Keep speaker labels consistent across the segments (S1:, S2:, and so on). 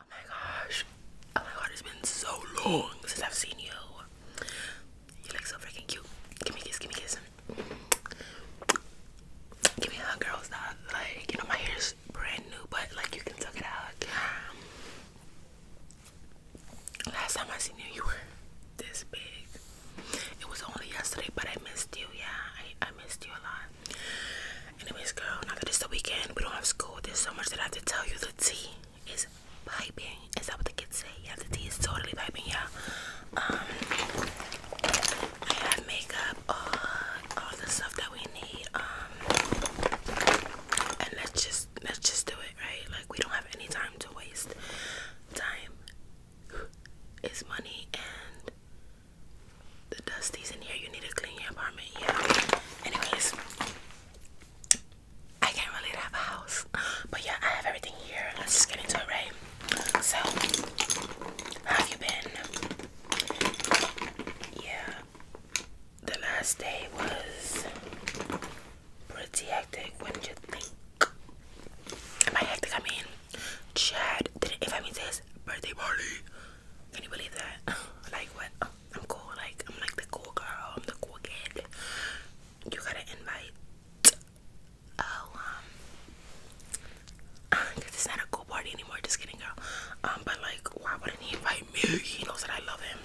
S1: Oh my gosh. Oh my god, it's been so long since I've seen you. You look so freaking cute. Give me a kiss, give me a kiss. Give me a hug, girl. Stop. Like, you know, my hair's brand new, but like, you can tuck it out. last time I seen you, you were this big. It was only yesterday, but I missed you. Yeah, I missed you a lot. Anyways, girl, now that it's the weekend, we don't have school. There's so much that I have to tell you. The tea is piping. Is that what the kids say? Yeah, the tea is totally piping, yeah. Um, I have makeup, uh, all the stuff that we need. Um, and let's just let's just do it, right? Like we don't have any time to waste. Time is money, and the dusties in here. You need to clean your apartment. Yeah. Anyways, I can't really have a house, but yeah, I have everything here. Let's get into it, right? So, how have you been? Yeah. The last day was pretty hectic. What not you think? And by hectic, I mean Chad didn't invite me to his birthday party. Can you believe that? like what? I'm cool, like I'm like the cool girl, I'm the cool kid. You gotta invite oh um because it's not a cool party anymore, just kidding girl. Um but like why wouldn't he invite me? He knows that I love him.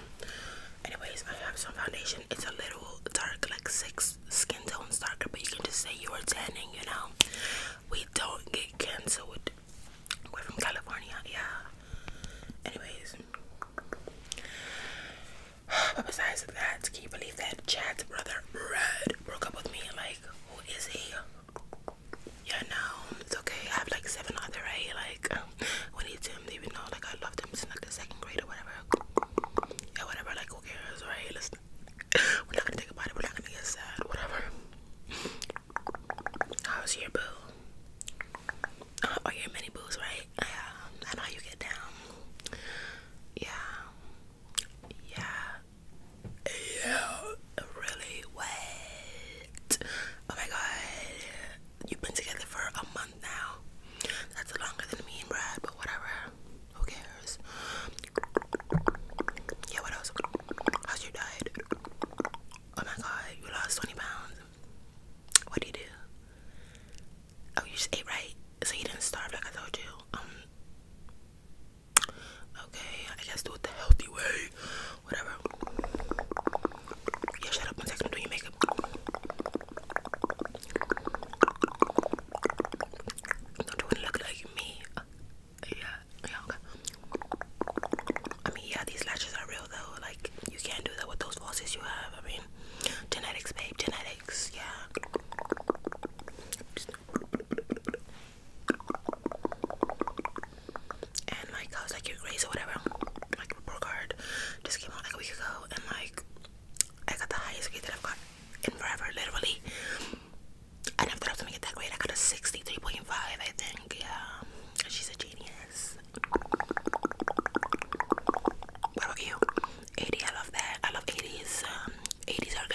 S1: Anyways, I have some foundation. It's a little dark, like six skin tones darker, but you can just say you are tanning, you know. We don't get canceled we're from California, yeah. Anyways, but besides that, can you believe that Chad's brother Red broke up with me? Like, who is he? Yeah, no, it's okay. I have like seven other, right? Like, when he him, even though like I loved him since like the second grade or whatever. Yeah, whatever. Like, who cares, right? let We're not gonna think about it. We're not gonna get sad. Whatever. How's your boo? Uh, your mini boos, right? Yeah, I know you get down. Yeah, yeah, yeah. Really wet. Oh my god, you've been together for a month now. That's longer than me and Brad, but whatever. Who cares? Yeah, what else? How's your diet? Oh my god, you lost 20 pounds. What did you do? Oh, you just ate right? So you didn't starve like I told you? Um, okay, I guess do it the healthy way. Whatever. Yeah, shut up one second. I'm doing your makeup. do you want to look like me? yeah, okay. I mean, yeah, these lashes are real though. Like, you can't do that with those falsies you have. I mean, genetics, babe, genetics, yeah. And like, I was like, you're crazy, or whatever. Like, report card just came out like a week ago, and like, I got the highest grade that I've got in forever, literally. I never thought I was gonna get that grade. I got a 63.5, I think yeah, she's a genius. What about you? 80, I love that. I love 80s. 80s um, are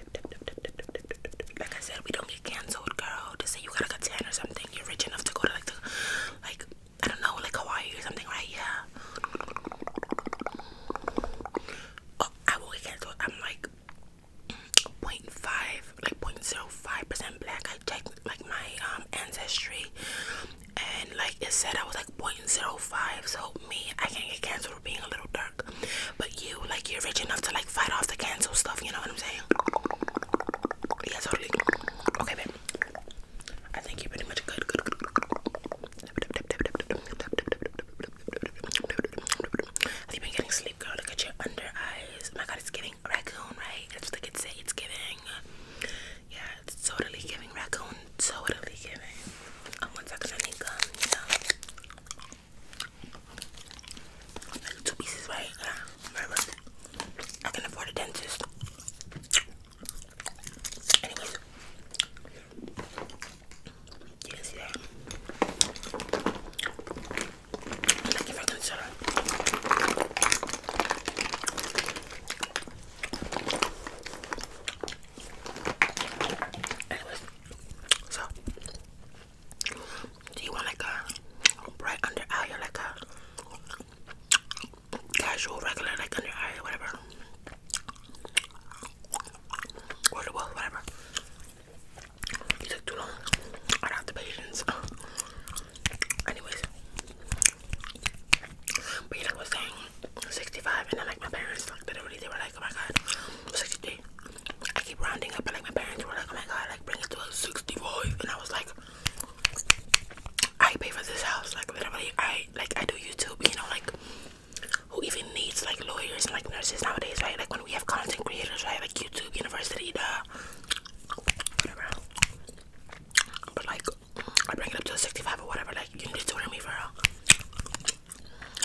S1: good. Like I said, we don't get cancelled, girl. Just say you gotta get 10 or something. You're rich enough to go to like like, I don't know, like Hawaii or something, right? Yeah. Oh, I will get cancelled. I'm like, 0.5 like point zero five percent black i checked like my um ancestry and like it said i was like 0.05 so me i can get canceled for being a little dark but you like you're rich enough to like fight off the cancel stuff you know what i'm saying yeah totally okay babe i think you're pretty much good, good. Have you been getting sleep, girl? Look at your under eyes. Oh my god, it's giving raccoon, right? That's what they could say. It's giving. Yeah, it's totally giving raccoon. Totally giving. Um, one second, I need gum, you know. two pieces, right? I can afford a dentist. Anyways. You so do you want like a bright under eye like a casual regular like under eye whatever? Or whatever. You took too long. I don't have the patience. Anyways, but yeah, like I was saying, 65, and then like my parents, like literally, they were like, oh my god, 63. I keep rounding up, but like my parents were like, oh my god, like bring it to like 65, and I was like, I pay for this house, like literally, I like I do YouTube, you know, like who even needs like lawyers and like nurses nowadays, right? Like when we have content creators, right? Like YouTube, university, duh, But like, I bring it up to 65 or whatever, like, you need to hear me for real.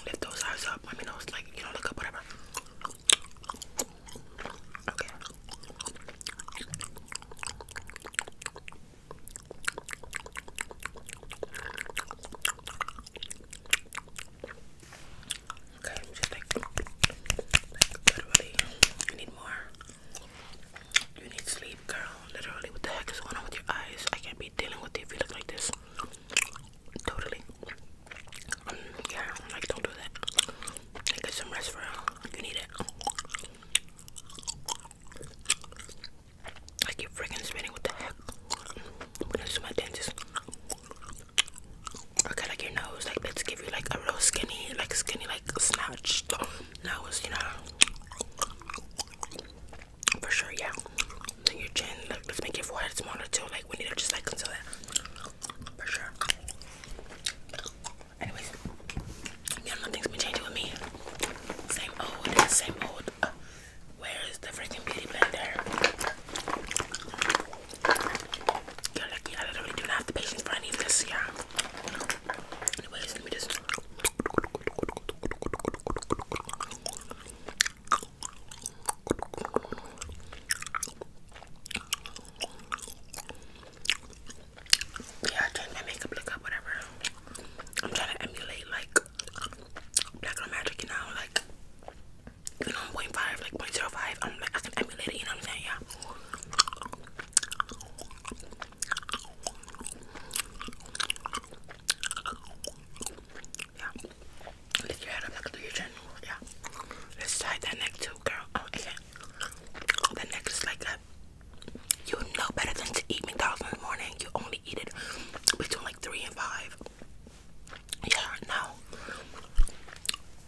S1: Lift those eyes up, let me know, like, you know, look up, whatever. Okay. Okay, I'm just like, literally, you need more. You need sleep, girl. Literally, what the heck is going on with your eyes? I can't be dealing with you if you look like this. Totally. Um, yeah, like don't do that. Like, get some rest, for real. You need it. I keep freaking spinning. What the heck? I'm gonna see my dentist. Okay, like your nose, like let's give you like a real skinny, like skinny, like snatched nose, you know. For sure, yeah. Then your chin, like let's make your forehead smaller too. Like we need to just like conceal that. For sure. Anyways, yeah, nothing's been changing with me. Same old, same old. Where is the freaking beauty blender? You're lucky I literally do not have the patience for any of this, yeah. Anyways, let me just yeah, change my makeup look up, whatever. I'm trying to emulate like black on magic, you know, like you know, 0.5, like 0.05. I'm like I can emulate it, you know what I'm saying? Yeah. Yeah. Lift your head up like to your Yeah. Let's tie that neck too, girl. Oh okay. That neck is like that. You know better than to eat McDonald's in the morning. You only eat it between like three and five. Yeah, now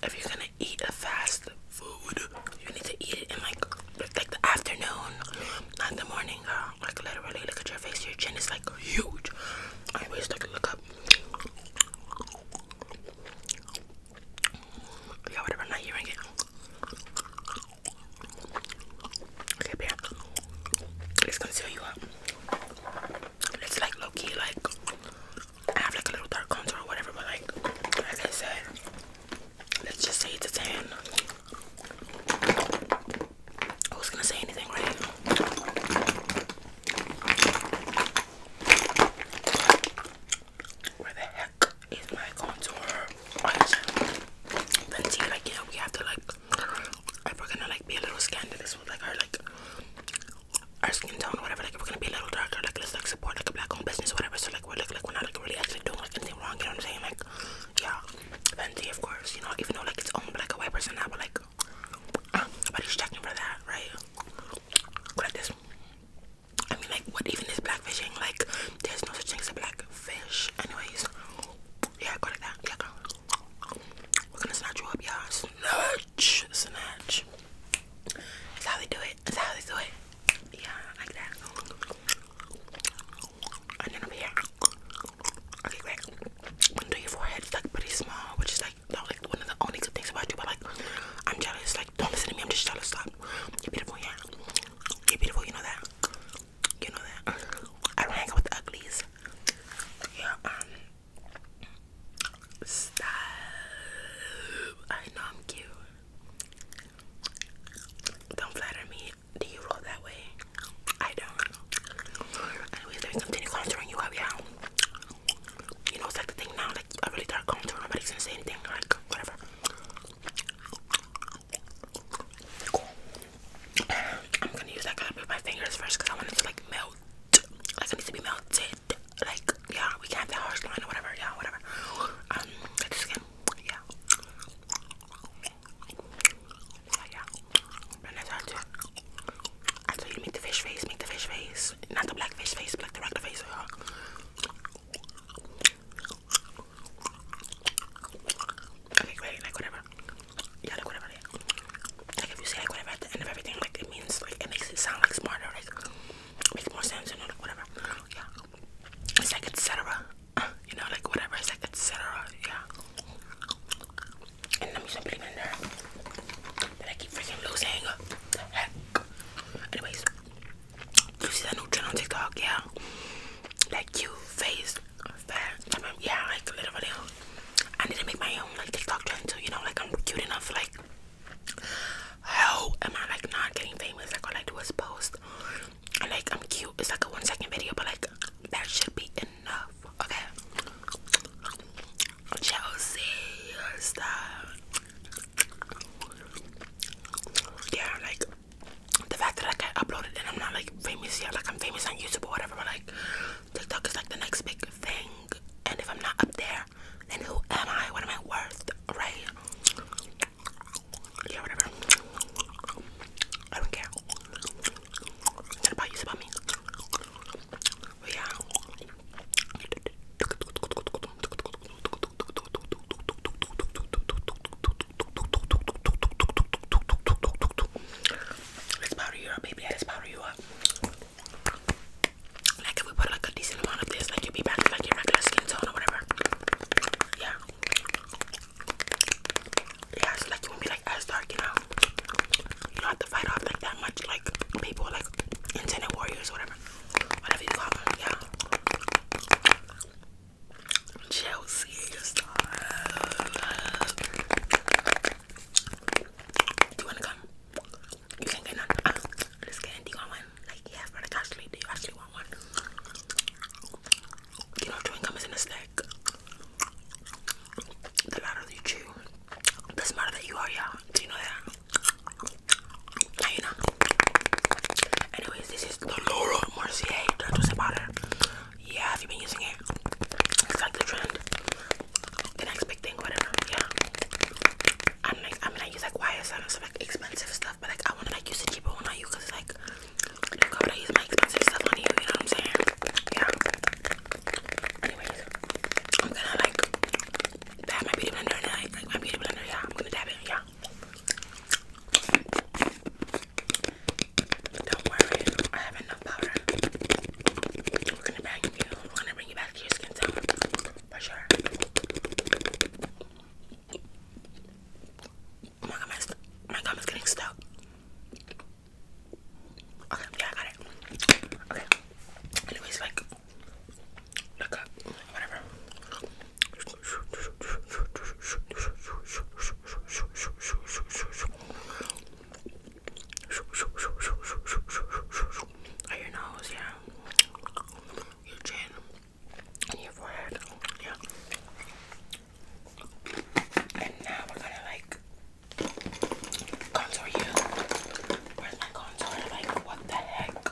S1: if you're gonna eat a fast food, you need to eat it in like like the afternoon, not the morning, girl. Uh, like literally, look at your face. Your chin is like huge. I always like look up. Yeah, whatever. not hearing it. Okay, bear. It's gonna seal you up. It's like low key, like I have like a little dark contour or whatever, but like like I said, let's just say it's a tan. Who's gonna say anything, right? Where the heck is my contour? Right. Then see, like yeah, we have to like if we're gonna like be a little scandalous with like our like our skin tone, whatever, like we're gonna be a little darker, like let's like support like a black owned business, whatever. So like we're like, we're not like really actually doing like anything wrong, you know what I'm saying? Like yeah, Fenty of course, you know, even though like it's owned by like a white person now, but like uh, nobody's checking for that, right? Like this. I mean like what even is black fishing? Like there's no such thing as a black fish. Anyways. Yeah, go like that. Yeah, girl. We're gonna snatch you up, y'all. Snatch, snatch. That's how they do it. That's how they do it. Yeah, like that. And then over here. Okay, great. Gonna your forehead. It's like pretty small, which is like one of the only good things about you. But like, I'm jealous. Like, don't listen to me. I'm just jealous. Stop. You're beautiful, yeah. You're beautiful. You know that. You know that. I don't hang out with uglies. Yeah, um, stop. I know I'm cute. Don't flatter me. Do you roll that way? I don't. Anyways, let me continue contouring you up, yeah. You know, it's like the thing now, like, I really start contouring, nobody's gonna say anything, like, whatever. I'm gonna use that cup move my fingers first because I want it to like melt. Like it needs to be melted. Like yeah, we can have the harsh line or whatever. Yeah, whatever. Um, the Yeah. Yeah, yeah. I do. I tell make the fish face, make the fish face, not the black fish face, but like face. Okay, great. Like whatever yeah, like whatever. Like if you say like whatever at the end of everything, like it means like it makes it sound like smarter, like makes more sense, you know, like whatever. Yeah, it's like etc. You know, like whatever. It's like etc. Yeah. And let me something in there that I keep freaking losing. Anyways, you see that new trend on TikTok? Yeah, that cute face, fat. I mean, yeah, like literally. I need to make my own like TikTok trend too. You know, like I'm cute enough. Like, how am I like not getting famous? Like all I do is post, and like I'm cute. It's like a one second video, but like that should be enough. Okay, Chelsea, stop. Yeah, like the fact that I got uploaded and I'm not like famous yet. Like I'm famous on YouTube or whatever, like TikTok is like the next big thing. And if I'm not up there, then who am I? What am I worth? Right? Yeah, whatever. I don't care. It's about you, it's about me. yeah. Let's powder you up, baby. Let's powder you up. Like if we put like a decent amount of this, like you'll be back to like your regular skin tone or whatever. Yeah. Yeah, like you won't be like as dark, you know. You don't have to fight off like that much, like people like internet warriors, whatever, whatever you call them. Yeah. Chelsea, do you want to come? You can get none. Ah, let's get in. one? Like, yeah, but like, actually, do you actually want one? You know, chewing gum is in a snack. The louder you chew, the smarter that you are, yeah. Do you know that? Now you know. Anyways, this is the Laura Mercier. Don't about yeah, have you been using it? It's like the trend. The next big thing, whatever. Yeah. I'm like, I use like YSL and like expensive stuff, but like I wanna like use the cheaper one I use like, look how would expensive stuff on you, you know what I'm saying? Yeah. Anyways, I'm gonna like dab my beauty blender like my beauty blender, yeah. I'm gonna dab it, yeah. Don't worry, I have enough powder. We're gonna bag you. We're gonna bring you back to your skin tone for sure. my gum is, getting stuck. yeah, I got it. Okay. Anyways, like, whatever. Or your nose, yeah. Your chin your forehead. Yeah. And now we're gonna like contour you. Where's my contour? Like what the heck?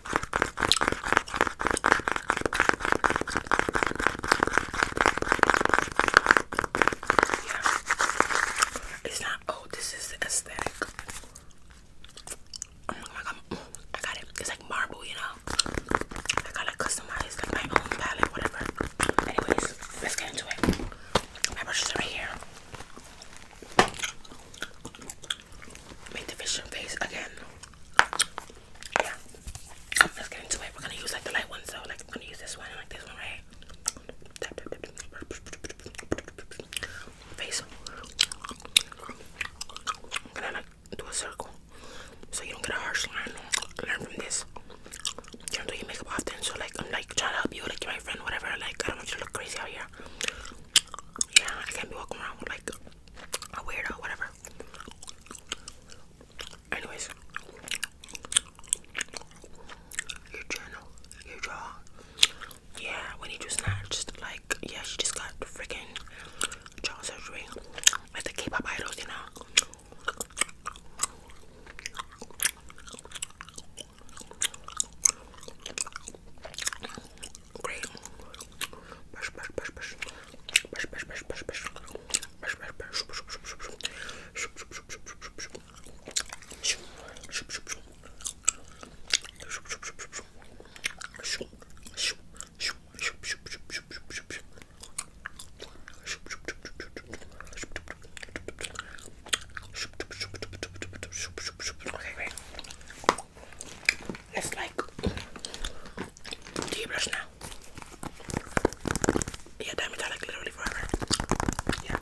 S1: Yeah. It's not, oh, this is the aesthetic. Oh I got it. It's like marble, you know? I gotta customize like my own palette, whatever. Anyways, let's get into it. My brushes are right here. Make the fishing face again. Yeah. Let's get into it. We're gonna use like the light ones though. Like I'm gonna use this one and like this one, right? Face. I'm gonna like do a circle. So you don't get a harsh line. Learn from this. You don't do your makeup often, so like I'm like trying to help you, like my friend, whatever. Like I don't want you to look crazy out here. Yeah, I can't be walking around with like a weirdo, whatever. Anyways, your journal, your jaw. Yeah, when you do snatched, like, yeah, she just got freaking jaw surgery. Like the K pop idols, you know. Great. Brush, brush, brush, brush. Brush, brush, brush, brush, brush. Brush, brush, brush, brush, brush, brush. Shoop, shoop, shoop, shoop, shoop, shoop. Shoop, shoop, shoop, shoop. Shoop, shoop, shoop, shoop, shoop. Shoop, shoop, shoop, shoop, shoop, shoop, shoop, shoop, shoop. Shoop, shoop, shoop, shoop, shoop, shoop. Shoop, shoop, shoop, shoop, shoop, shoop, shoop, shoop. Okay, great. It's like, do you blush now? Yeah, damn it, like literally forever. Yeah.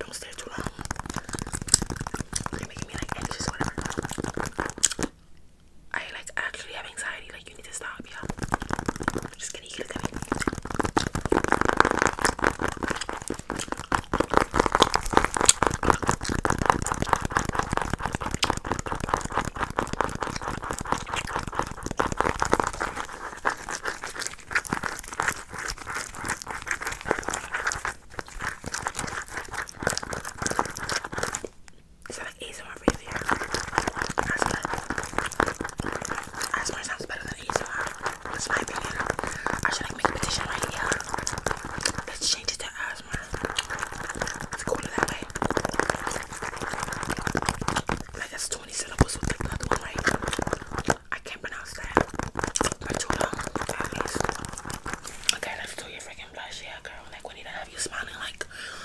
S1: Don't stay too long. You're making me like anxious, whatever. I like actually have anxiety. Like you need to stop, yeah. Just kidding, you can look at me. So like Azor really That's sounds better than Azor. That's my opinion. I should make a petition right here. Let's change it to Asmar. It's cooler that way. Like that's 20 syllables with the one, right? I can't pronounce that. too long. Okay, let's do your freaking blush, yeah girl. Like we need to have you smiling like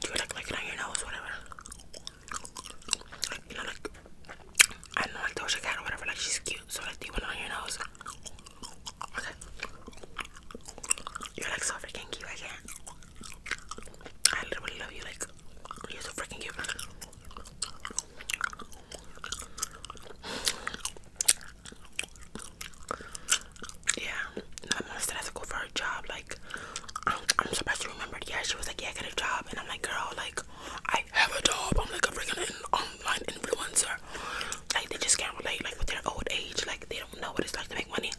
S1: Do you like looking at your nose, whatever? Like, you know, like, I don't like Doja Cat or whatever, like she's cute, so like, do it on your nose? Okay. You're like so freaking cute, I can't. I literally love you, like, you're so freaking cute. Yeah, my sister going to go for her job. Like, I'm, surprised she remembered. Yeah, she was like, yeah, I got a job. And I'm like, girl, like, I have a job. I'm like a freaking online influencer. Like, they just can't relate. Like, with their old age, like, they don't know what it's like to make money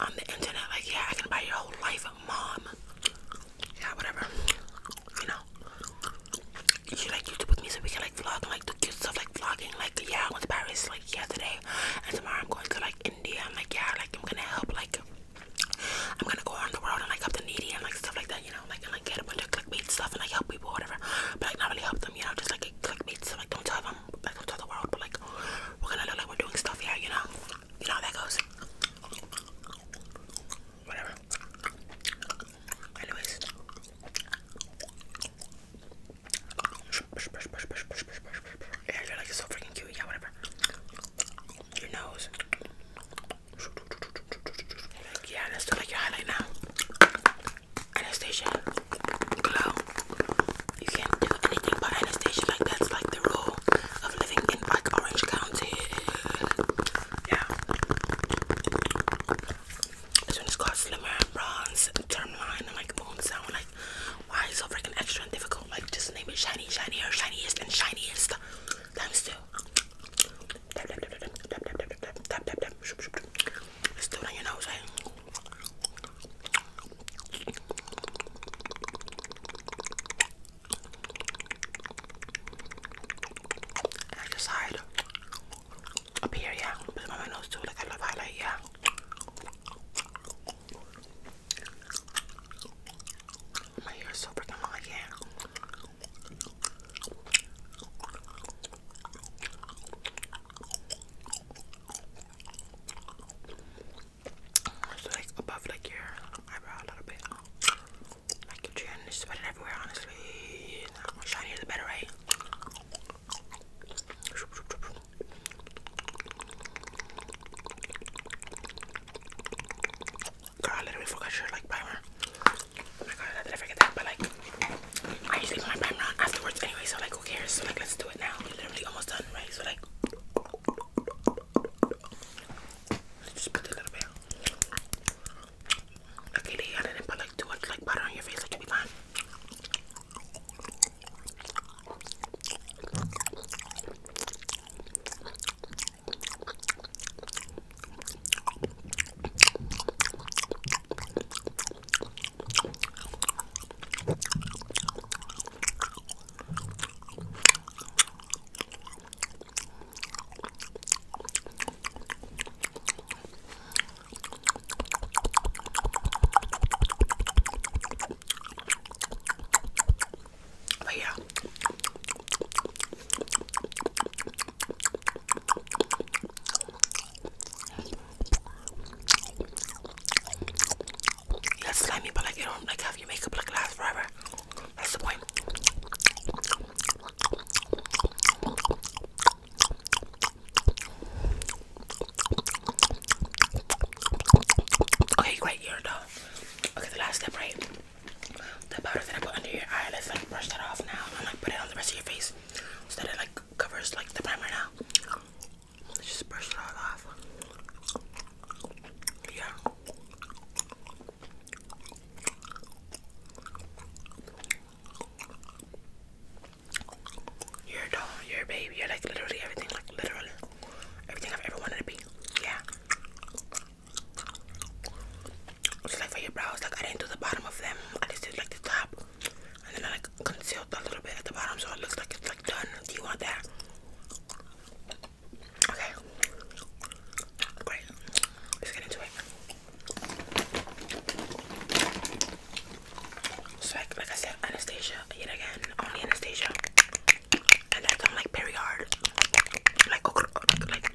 S1: on the internet. Like, yeah, I can buy your whole life, mom. Yeah, whatever. You know you should like YouTube with me so we can like vlog like do cute stuff like vlogging. Like yeah, I went to Paris like yesterday, and tomorrow I'm going to like India. I'm like yeah, like I'm gonna help like I'm gonna go around the world and like help the needy and like stuff like that. You know, like and like get a bunch of clickbait stuff and like help people whatever. But like not really help them. You know, just like clickbait stuff. Like don't tell them. don't tell the world. But like we're gonna look like we're doing stuff. Yeah, you know, you know how that goes. Whatever. Anyways. Yeah, you're like so freaking cute. Yeah, whatever. Your nose. Yeah, let's like your highlight now. Anastasia. Glow. You can't do anything but Anastasia. Like that's like the rule of living in Orange County. Yeah. This one is called Slimmer Bronze Termline. I'm like, boom, sound like, why is so freaking extra and difficult? Like, just name it shiny, shinier, shiniest, and shiniest. Times two. Let's do it on your nose, right? And I decide up here, yeah. Put them on my nose too, like I love highlight, yeah. My hair is so freaking long, yeah. So like above like your eyebrow a little bit. Like your chin is sweating everywhere, honestly. The more better, right? Girl, I literally forgot your like primer. Oh my god, I did I forget that? But like, I usually put my primer on afterwards anyway, so like, who cares? So like, let's do it now. we literally almost done, right? So like, just put a little bit. Okay, they added it, put like too much like butter on your face, like you'll be fine. But yeah. That's slimy, but like you don't like have your makeup like last forever. That's the point. Okay, great, you're done. Okay, the last step, right? The powder that I put under your eye, let's like brush that off now and like put it on the rest of your face so that it like covers like the primer now. Let's just brush it all off. Yeah. You're a doll, you're a baby, you're like literally everything, like literally everything I've ever wanted to be. Yeah. So like for your brows, like I didn't do the bottom of them. I just did like the top. And then I like concealed a little bit at the bottom so it looks like it's like done. Do you want that? Okay. Great. Let's get into it. So like, like I said, Anastasia yet again, only Anastasia, and I'm like very hard, like like like, like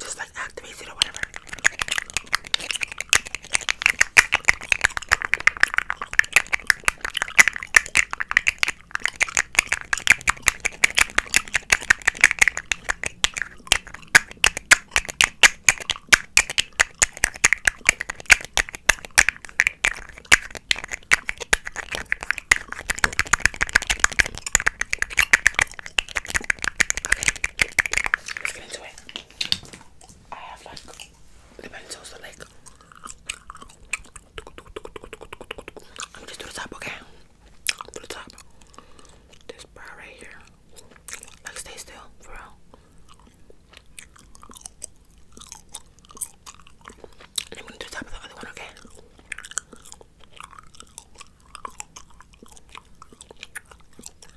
S1: Just like activates it or whatever. Okay, let's get into it. I have like Dipenso like I'm just to the top, okay? To the top. This bar right here. Like stay still, for real. And I'm gonna do the top of the other one, okay?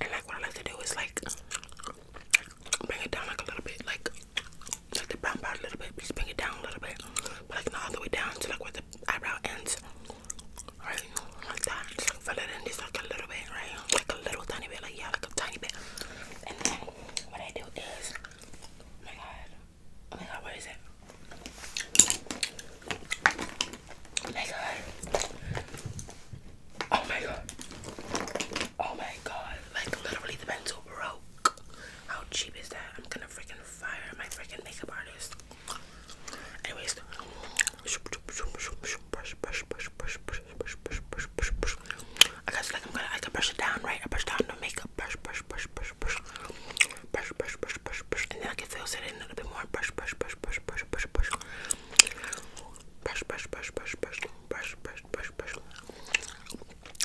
S1: And like what I like to do is like bring it down like a little bit, like like the brown part a little bit, just bring it down a little bit, but like not all the way down to like where the eyebrow ends, right? Like that, just fill it in just like a little bit, right? Like a little tiny bit, like yeah, like a tiny bit. And then what I do is, oh my god, oh my god, what is it? Oh my god. Oh my god. Oh my god. Like literally the pencil broke. How cheap is that? I'm gonna freaking fire my freaking makeup artist. Anyways, brush, brush, brush, brush, brush, brush, brush, brush, brush, brush. I guess like I'm gonna I can brush it down, right? I brush down the makeup, brush, brush, brush, brush, brush, brush, brush, brush, brush, brush, and then I can fill it in a little bit more. Brush, brush, brush, brush, brush, brush, brush, brush, brush, brush, brush, brush, brush, brush, brush, brush.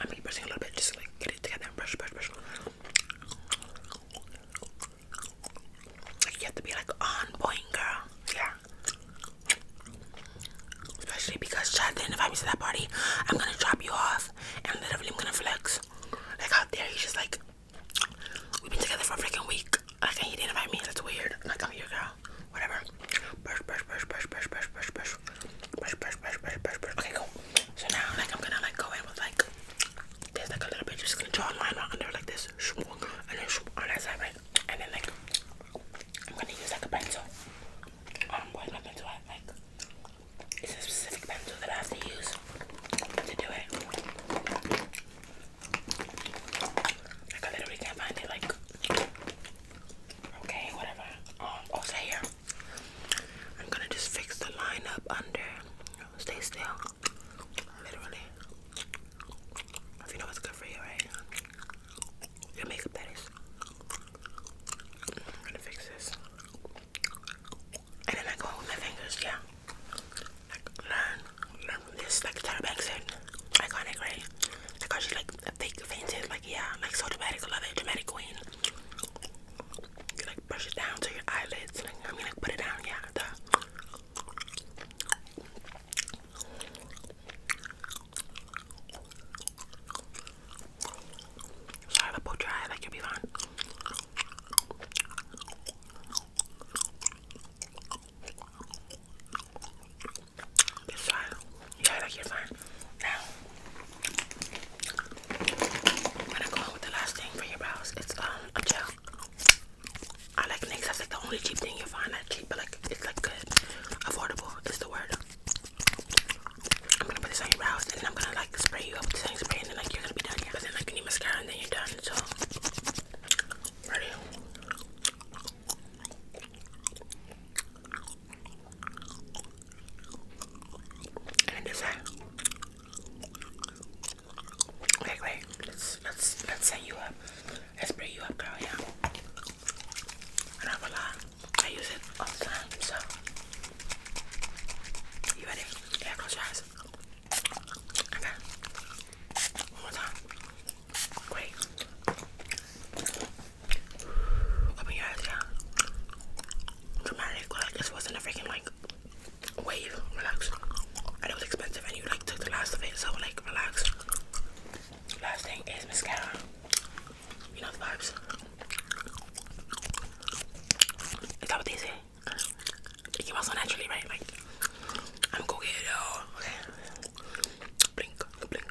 S1: I'm mean, brushing a little bit just to like get it together and brush, brush, brush. Like you have to be like on point, girl. Yeah. Especially because Chad didn't invite me to that party. I'm gonna drop you off and literally I'm gonna flex. Like out there, he's just like, we've been together for a freaking week. Like, and he didn't invite me. That's weird. Like, I'm your girl. Whatever. Brush, brush, brush, brush, brush, brush, brush, brush brush, brush, brush, brush, brush, brush. Okay, cool. So now, like, I'm gonna like go in with like there's like a little bit. You're just gonna draw a line right under like this, and then on that side, right? And then like I'm gonna use like a pencil. Um, what my pencil? I like it's a specific pencil that I have to use to do it. I literally can't find it. Like okay, whatever. Um, also here. I'm gonna just fix the line up under. Stay still. Literally. you know what's good for you, right? Your makeup that is. I'm gonna fix this. And then I go with my fingers, yeah. Like learn, learn from this, like Tara Banks said. Iconic, right? Like how she like fake fainted, like yeah, like so dramatic, love it, dramatic queen. You like brush it down to your eyelids. Like, I mean, like put it down, yeah. The... Sorry, the poke your like you'll This side. Yeah, like you're Now, I'm gonna go on with the last thing for your brows. It's um a gel. I like NYX. That's like the only cheap thing you find. Not cheap, but like it's like good, affordable. Is the word. I'm gonna put this on your brows, and I'm gonna like spray you up with the same and then like you're gonna be done. Yeah. But then like you need mascara, and then you're done. So ready. And is that? Let's let's let's set you up. Let's bring you up, girl. Yeah. I am not have a lot. I use it all the time. So you ready? Yeah. eyes. Okay. One more time. Great. Open your eyes, yeah. Dramatic, like this wasn't a freaking like wave. Relax. And it was expensive, and you like took the last of it, so like relax. Last thing is mascara. You know the vibes. Is that what they say? It came so naturally, right? Like, I'm gonna Blink, blink,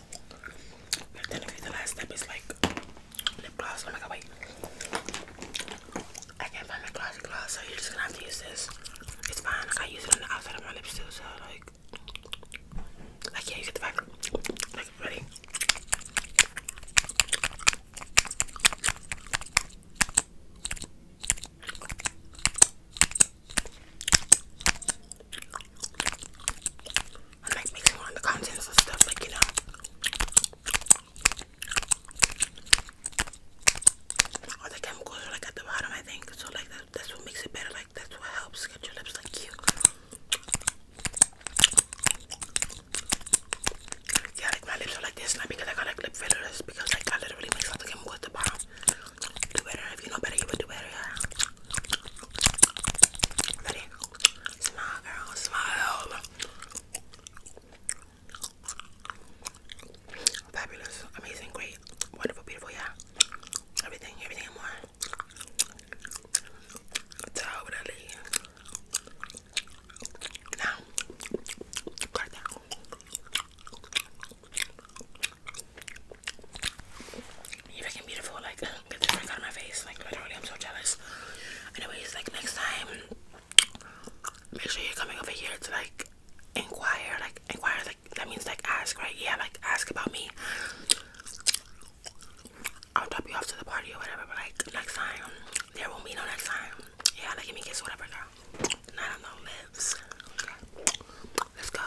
S1: But then okay, the last step is like lip gloss. Oh my god, wait. I can't find my glossy gloss, so you're just gonna have to use this. It's fine, like I use it on the outside of my lips too, so like like yeah, you get the ready. I'm like mixing all the contents of stuff, like you know. All the chemicals are like at the bottom, I think. So like that, that's what makes it better. Like that's what helps get your lips like cute. Yeah, like my lips are like this, not because I got like lip fillers, because like I literally mix all the chemicals at the bottom. Do better if you know better, you would do better. Yeah. Ready? Smile, girl. Smile. Fabulous. Amazing. Great. Wonderful. Beautiful. Yeah. Everything. Everything more. Totally. Now, You're fucking beautiful. Like, get the freak out of my face. Like literally, I'm so jealous. Anyways, like next time, make sure you're coming over here to like inquire, like inquire, like that means like ask, right? Yeah, like ask about me. I'll drop you off to the party or whatever, but like next time, there will be no next time. Yeah, like give me kiss, whatever, girl. Not on the lips. Okay. Let's go.